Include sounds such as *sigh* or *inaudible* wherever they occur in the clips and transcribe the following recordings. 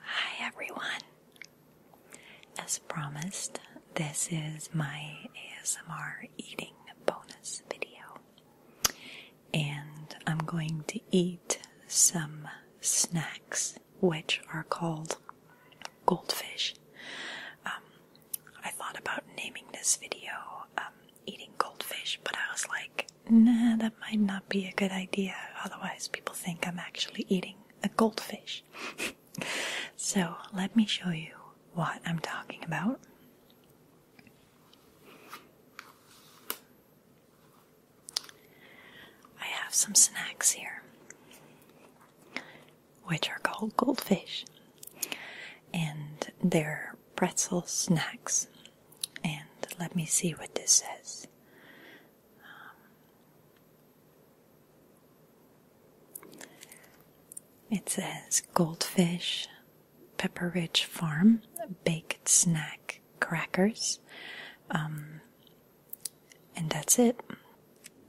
Hi everyone! As promised, this is my ASMR eating bonus video. And I'm going to eat some snacks which are called goldfish. Um, I thought about naming this video um, eating goldfish, but I was like, nah, that might not be a good idea. Otherwise, people think I'm actually eating a goldfish. *laughs* so, let me show you what I'm talking about. I have some snacks here, which are called goldfish, and they're pretzel snacks. And let me see what this says. Um, it says goldfish, Pepperidge farm, baked snack crackers. Um, and that's it.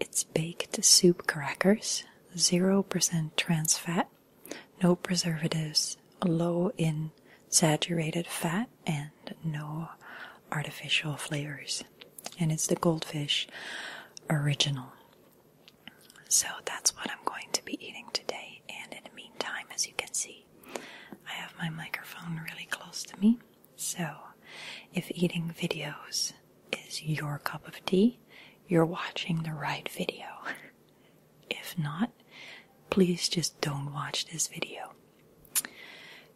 It's baked soup crackers, 0% trans fat, no preservatives, low in saturated fat, and no artificial flavors. And it's the goldfish original. So that's what I'm going to be eating today. And in the meantime, as you can see, I have my microphone really close to me. So if eating videos is your cup of tea, you're watching the right video. *laughs* If not, please just don't watch this video.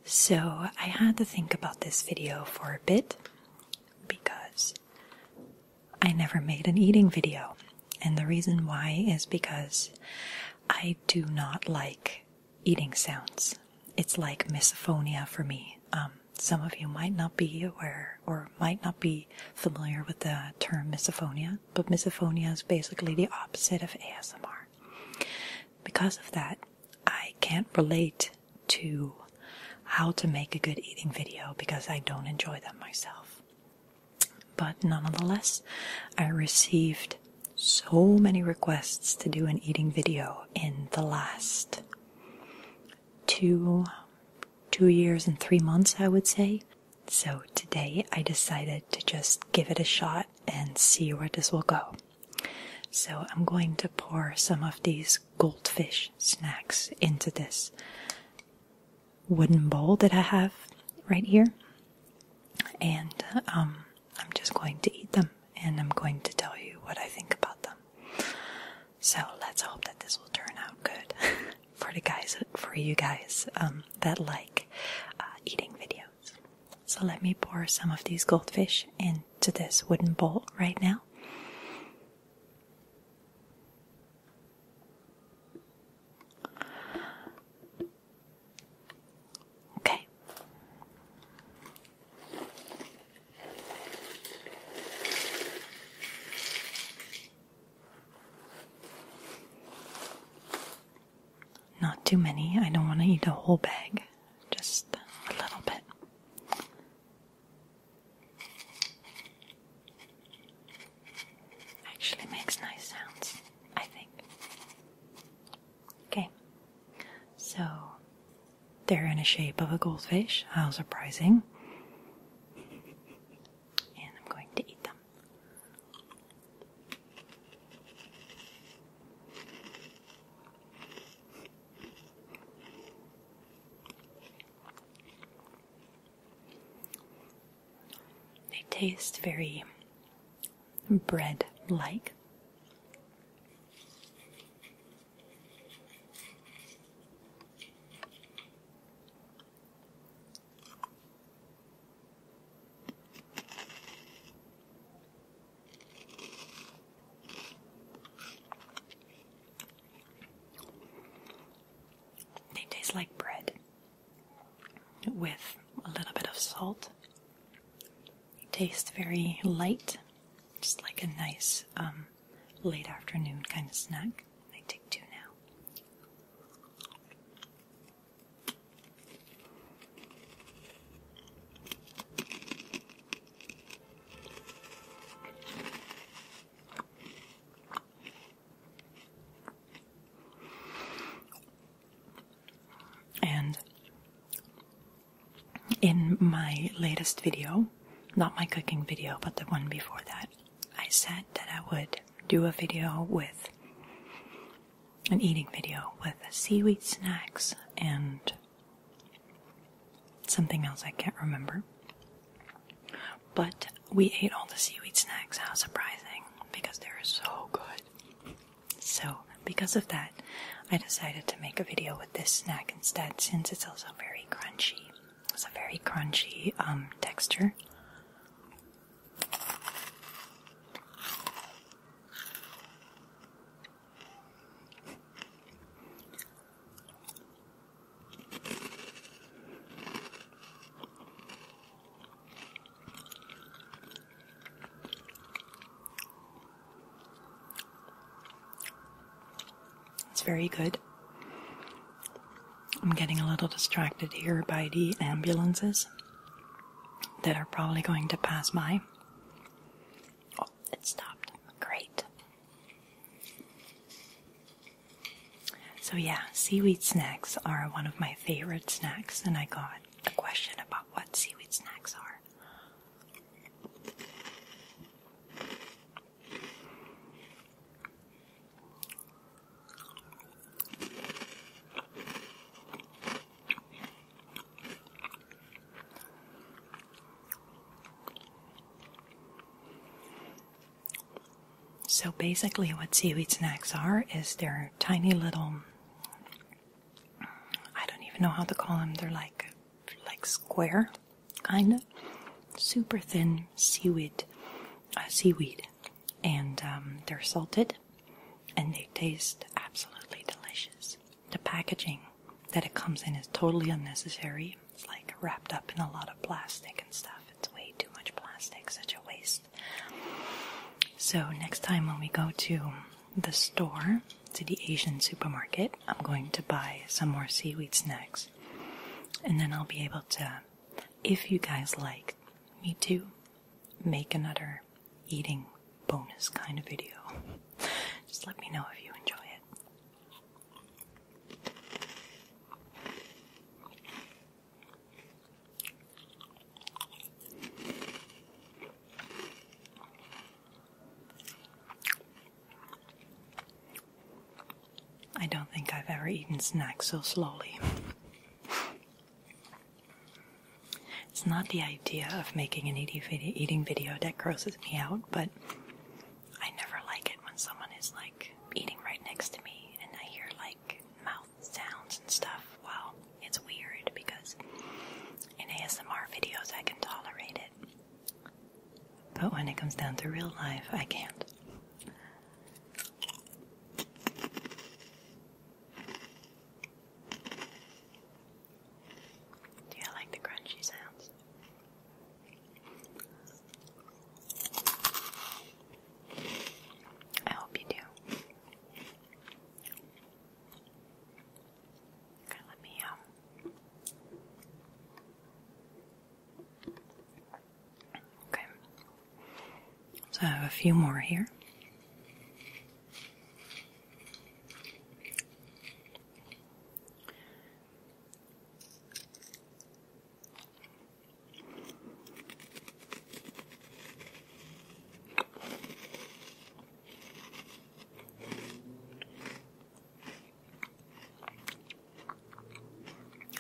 So, I had to think about this video for a bit because I never made an eating video. And the reason why is because I do not like eating sounds. It's like misophonia for me. Um, some of you might not be aware or might not be familiar with the term misophonia but misophonia is basically the opposite of ASMR. Because of that, I can't relate to how to make a good eating video because I don't enjoy them myself. But nonetheless, I received so many requests to do an eating video in the last two two years and three months, I would say. So today I decided to just give it a shot and see where this will go. So I'm going to pour some of these goldfish snacks into this wooden bowl that I have right here. And um, I'm just going to eat them and I'm going to tell you what I think about them. So let's hope that this will turn out good *laughs* for the guys, for you guys um, that like uh, eating videos. So let me pour some of these goldfish into this wooden bowl right now. Okay. Not too many. I don't want to eat a whole bag, just a little bit. Actually makes nice sounds, I think. Okay, so they're in a shape of a goldfish. How surprising and I'm going to eat them. They taste very bread like. They taste like bread with a little bit of salt. They taste very light, just like a nice um, late afternoon kind of snack. I take two now. And in my latest video, not my cooking video, but the one before that, I said that I would do a video with an eating video with seaweed snacks and something else I can't remember. But we ate all the seaweed snacks, how surprising, because they're so good. So, because of that, I decided to make a video with this snack instead since it's also very crunchy. It's a very crunchy um, texture. It's very good. I'm getting a little distracted here by the ambulances that are probably going to pass by. Oh, it stopped. Great. So, yeah, seaweed snacks are one of my favorite snacks, and I got a question about what seaweed snacks are. So basically, what seaweed snacks are is they're tiny little, I don't even know how to call them, they're like like square, kind of super thin seaweed, uh, seaweed, and um, they're salted, and they taste absolutely delicious. The packaging that it comes in is totally unnecessary. It's like wrapped up in a lot of plastic and stuff. It's way too much plastic, such a waste. So next time when we go to the store, to the Asian supermarket. I'm going to buy some more seaweed snacks. And then I'll be able to, if you guys like me to, make another eating bonus kind of video. *laughs* Just let me know if you enjoy it. I don't think I've ever eaten snacks so slowly. It's not the idea of making an eating video that grosses me out, but I never like it when someone is like eating right next to me and I hear like mouth sounds and stuff. Well, it's weird because in ASMR videos I can tolerate it. But when it comes down to real life, I can't. Do you like the crunchy sounds? I hope you do. Okay, let me um, Okay, so I have a few more here.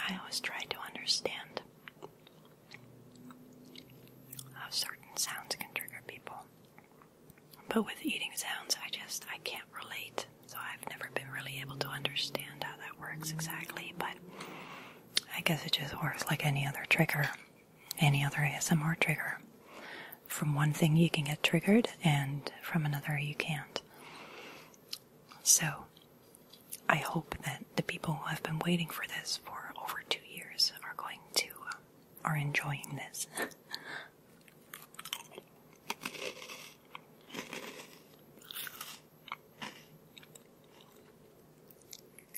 I always try to understand how certain sounds can trigger people. But with eating sounds, I just I can't relate. So I've never been really able to understand how that works exactly, but I guess it just works like any other trigger any other ASMR trigger. From one thing you can get triggered, and from another you can't. So, I hope that the people who have been waiting for this for over two years are going to, uh, are enjoying this.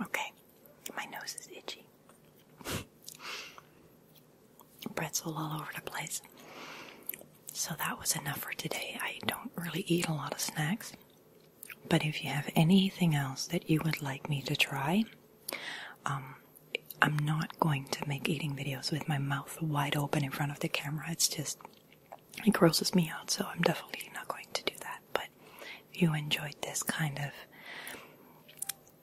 Okay, my nose is itchy. Pretzel all over the place. So that was enough for today. I don't really eat a lot of snacks. But if you have anything else that you would like me to try, um, I'm not going to make eating videos with my mouth wide open in front of the camera. It's just, it grosses me out, so I'm definitely not going to do that. But if you enjoyed this kind of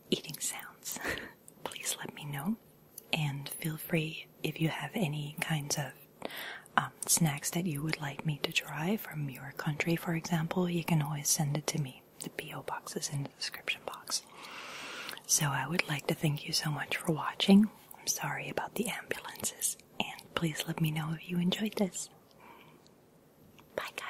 eating sounds, *laughs* please let me know. And feel free if you have any kinds of um, snacks that you would like me to try from your country, for example, you can always send it to me. The P.O. box is in the description box. So I would like to thank you so much for watching. I'm sorry about the ambulances, and please let me know if you enjoyed this. Bye, guys.